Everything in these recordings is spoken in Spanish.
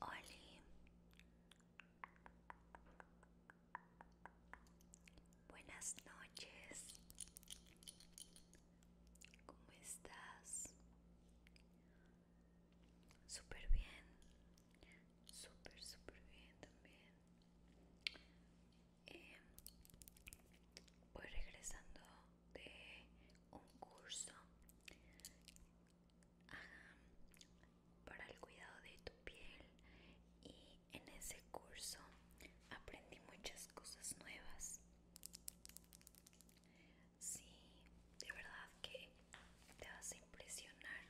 Oli. Buenas noches. ¿Cómo estás? Súper bien. Súper, súper bien también. Em, voy regresando de un curso para el cuidado de tu piel y en ese curso aprendí muchas cosas nuevas. Sí, de verdad que te vas a impresionar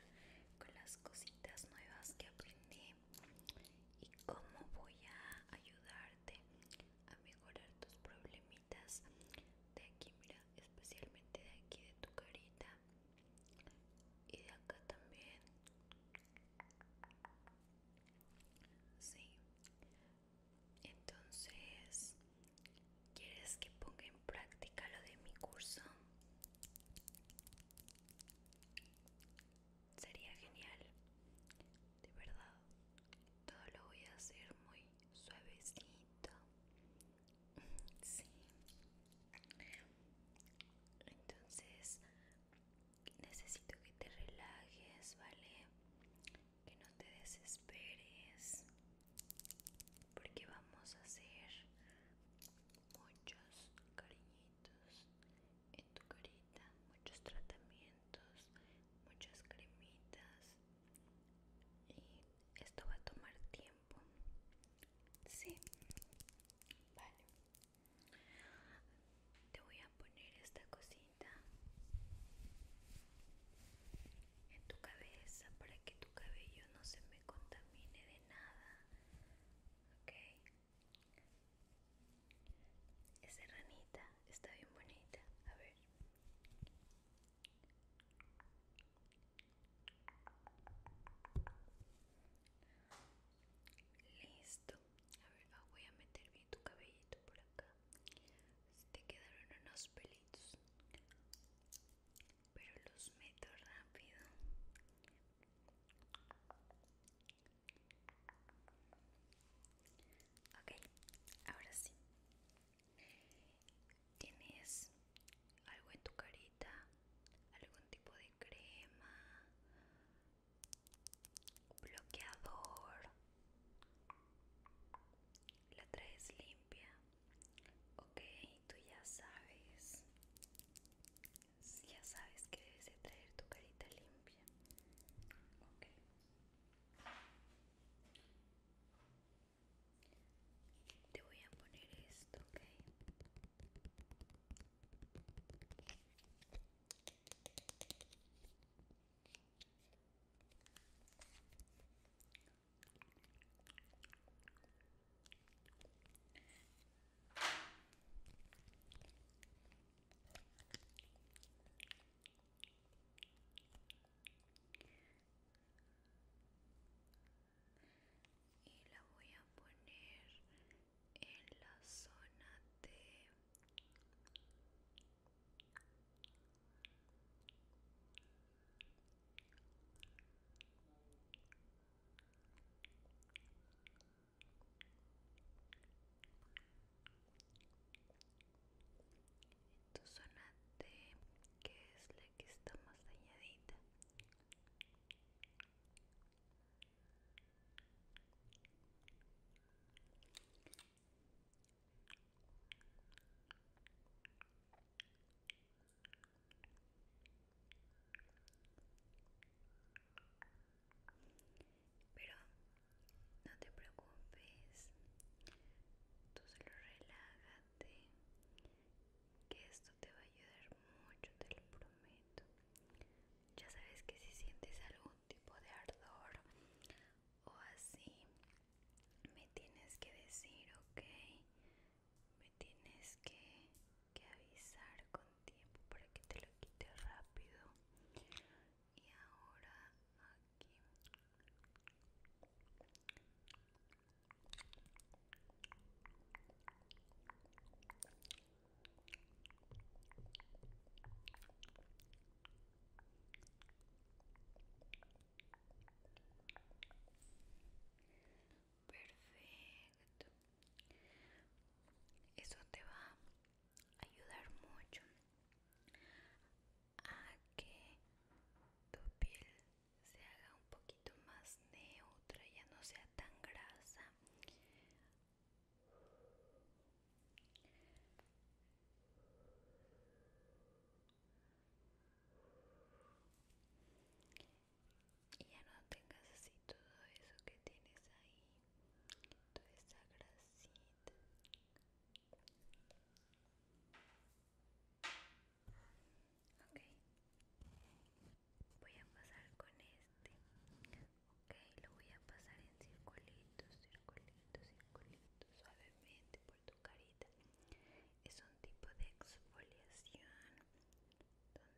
con las cositas nuevas que aprendí y cómo voy a ayudar a mejorar tus problemitas de aquí, mira, especialmente de aquí de tu carita y de acá también. Sí. Entonces, ¿quieres que ponga en práctica lo de mi curso? sería genial de verdad todo lo voy a hacer muy suavecito sí entonces necesito que te relajes vale que no te desesperes porque vamos a hacer muchos cariñitos en tu carita, muchos tratamientos, muchas cremitas y esto va a tomar tiempo. Sí, vale. Te voy a poner esta cosita en tu cabeza para que tu cabello no se me contamine de nada. Ok, esa ranita, está bien bonita. A ver. Listo. A ver, ah, voy a meter bien tu cabellito por acá. Te quedaron unos pelitos. Pero los meto rápido. Ok, ahora sí. ¿Tienes algo en tu carita? ¿Algún tipo de crema? ¿Bloqueador? ¿La traes limpia? Ok, tú ya sabes. Ya sabes que debes de traer tu carita limpia. Ok. Te voy a poner esto, ¿okay? y la voy a poner en la zona de en tu zona de que es la que está más dañadita pero no te preocupes, tú solo relágate, que esto te va a ayudar mucho, te lo prometo. Ya sabes que si sientes algún tipo de ardor o así, me tienes que decir, ok, me tienes que, que avisar con tiempo para que te lo quite rápido y ahora aquí perfecto eso te va ayudar mucho a que tu piel se haga un poquito más neutra, ya no sea tan grasa. Y ya no tengas así todo eso que tienes ahí toda esa grasita ok voy a pasar con este ok lo voy a pasar en circulitos circulitos circulitos suavemente por tu carita es un tipo de exfoliación entonces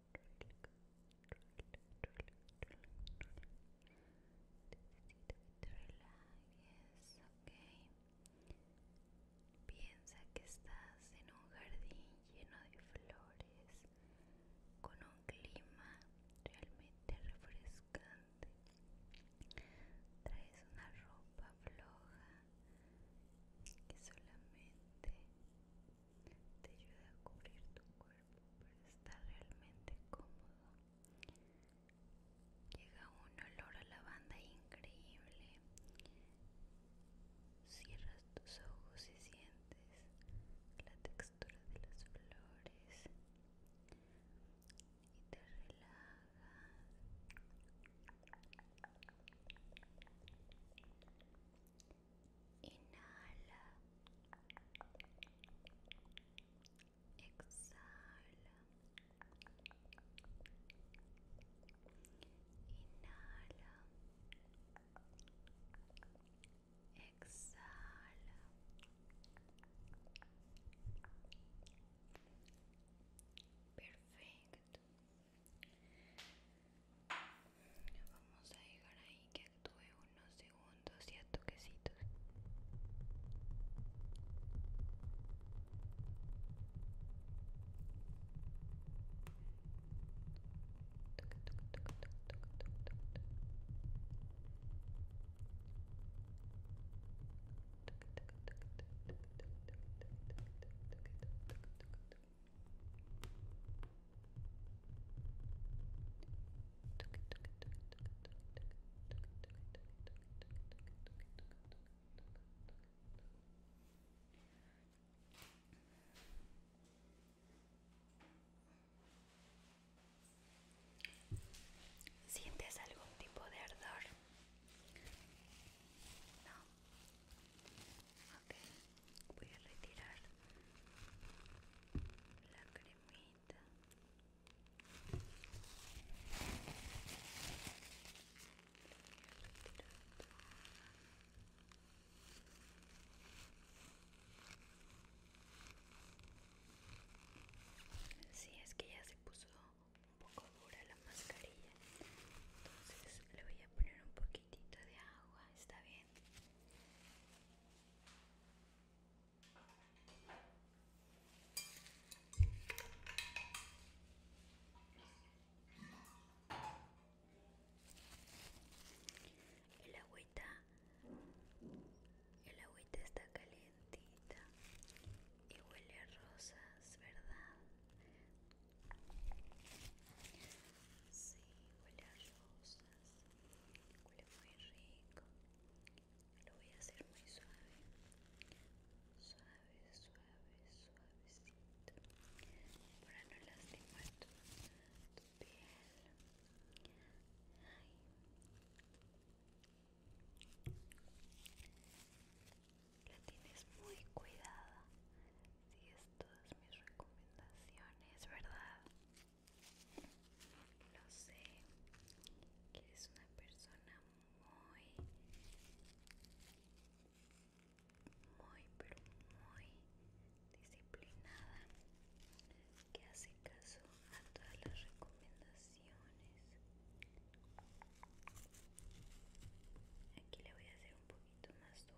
ok. Piensa que estás en un jardín lleno de flores, con un clima realmente refrescante. Traes una ropa floja que solamente te ayuda a cubrir tu cuerpo para estar realmente cómodo. Llega un olor a lavanda increíble. Cierras tus ojos y sientes la textura de las flores y te relajas inhala, exhala, inhala, exhala. Perfecto. Vamos a llegar ahí que actúe unos segundos y a toquecitos. ¿Sientes algún tipo de ardor? No voy a retirar la cremita. Si sí, es que ya se puso un poco dura la mascarilla, entonces le voy a poner un poquito de agua, está bien. El agüita, el agüita está calientita y huele a rosas, ¿verdad? Sí, huele a rosas. Huele muy rico. Lo voy a hacer muy suave. Suave, suave, suavecito. Para no lastimar tu piel. Ay la tienes muy cuidada. Si todas mis recomendaciones, ¿verdad? Lo sé, que eres una persona muy, muy, pero muy disciplinada, que hace caso a todas las recomendaciones. Aquí le voy a hacer un poquito más duro.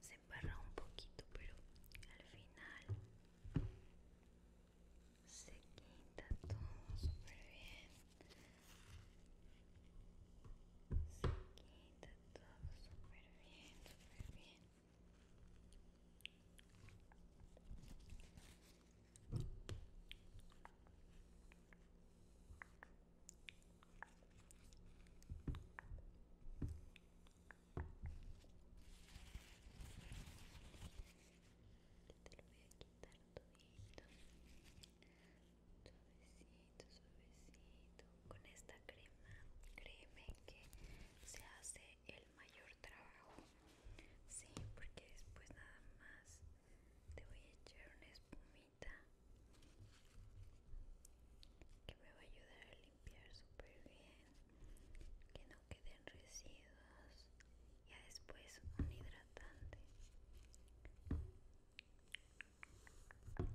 se embarra un poquito, pero al final se quita todo súper bien. Se quita todo súper bien, super bien te lo voy a quitar todito suavecito suavecito con esta crema créeme que se hace el mayor trabajo sí porque después nada más te voy a echar una espumita que me va a ayudar a limpiar super bien que no queden residuos y después un hidratante perfecto a ver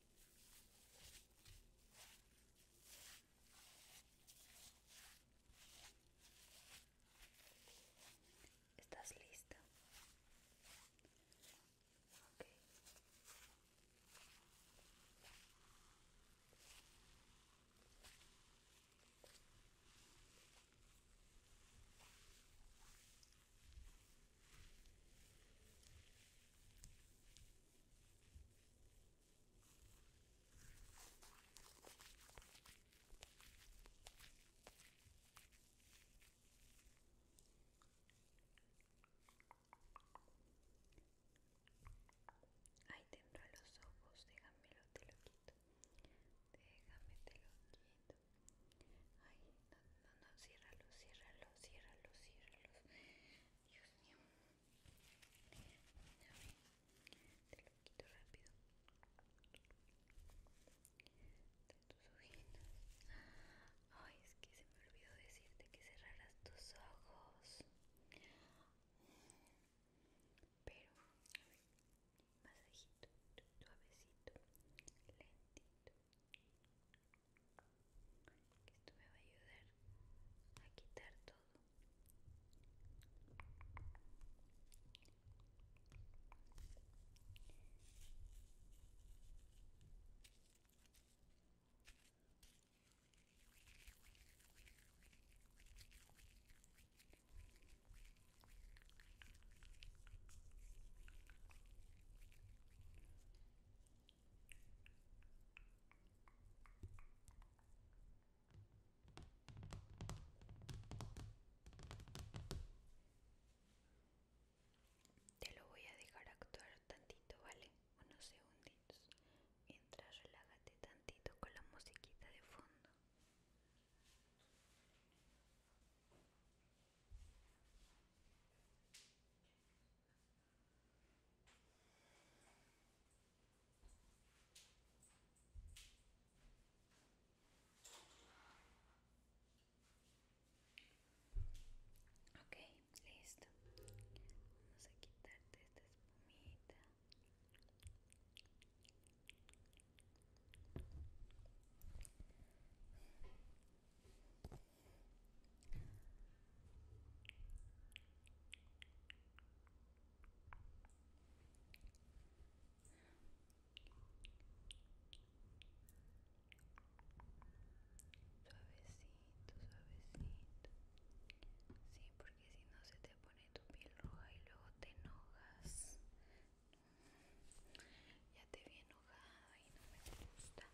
¿Estás lista? Ahí tendrá los ojos, déjamelo, te lo quito. Déjame, te lo quito. Ay no, no, no, ciérralo, ciérralo, ciérralo, ciérralo Dios mío. A te lo quito rápido. De tus ojitos. Ay, es que se me olvidó decirte que cerraras tus ojos. Pero, a ver, masajito, suavecito, lentito que esto me va a ayudar a quitar todo te lo voy a dejar actuar tantito, ¿vale? Unos segunditos. Mientras relájate tantito con la musiquita de fondo. Ok, listo. Vamos a quitarte esta espumita. Suavecito, suavecito. Sí, porque si no se te pone tu piel roja y luego te enojas. Ya te vi enojada y no me gusta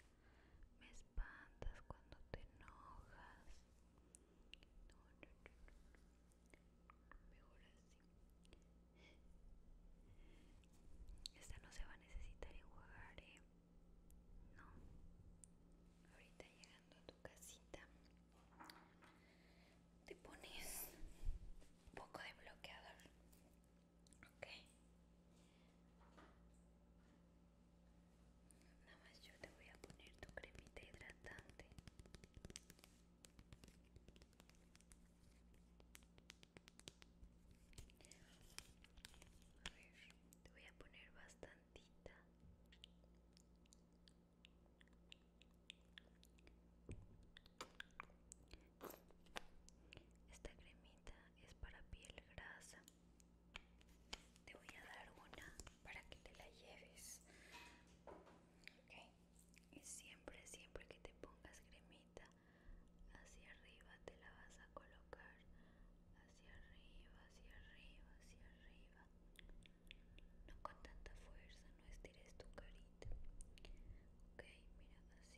me espantas cuando te enojas. Mejor así. Esta no se va a necesitar enjuagar, ¿eh? No. Ahorita llegando a tu casita, te pones un poco de bloqueador ok nada más yo te voy a poner tu cremita hidratante te voy a poner bastantita esta cremita es para piel grasa. Te voy a dar una para que te la lleves. Okay. Y siempre, siempre que te pongas cremita hacia arriba te la vas a colocar. Hacia arriba, hacia arriba, hacia arriba. No con tanta fuerza, no estires tu carita. Ok, mira así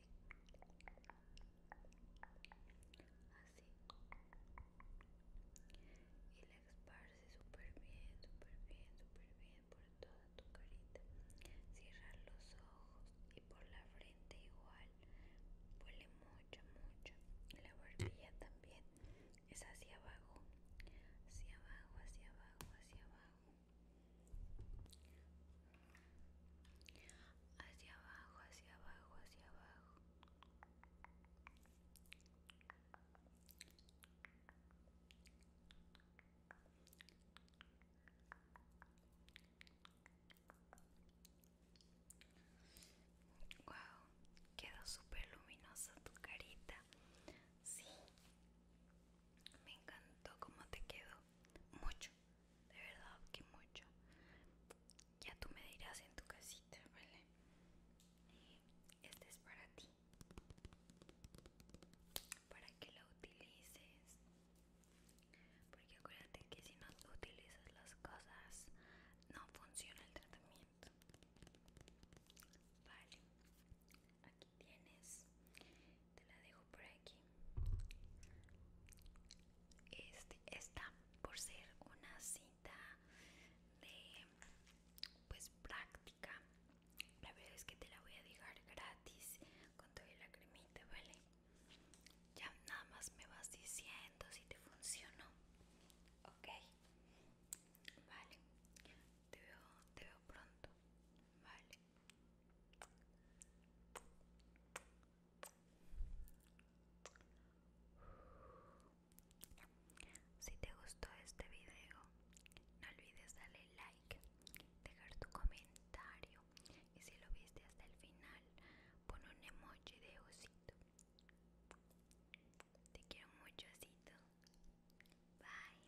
así y la esparce súper bien súper bien súper bien por toda tu carita cierra los ojos y por la frente igual huele mucho mucho. la barbilla también es hacia abajo hacia abajo hacia abajo hacia abajo hacia abajo, hacia abajo, hacia abajo. Wow, quedó súper luminosa tu carita. Sí, me encantó cómo te quedó. Mucho de verdad que mucho. Ya tú me dirás en tu casita, ¿vale? Este es para ti, para que lo utilices. Porque acuérdate que si no utilizas las cosas, no funciona el tratamiento. Vale, aquí tienes te la dejo por aquí este, esta por ser una cita de pues práctica la verdad es que te la voy a dejar gratis con toda la cremita vale ya nada más me vas diciendo si te funcionó ok vale te veo, te veo pronto vale si te gustó este video, no olvides darle like, dejar tu comentario y si lo viste hasta el final, pon un emoji de osito. Te quiero mucho, osito. Bye.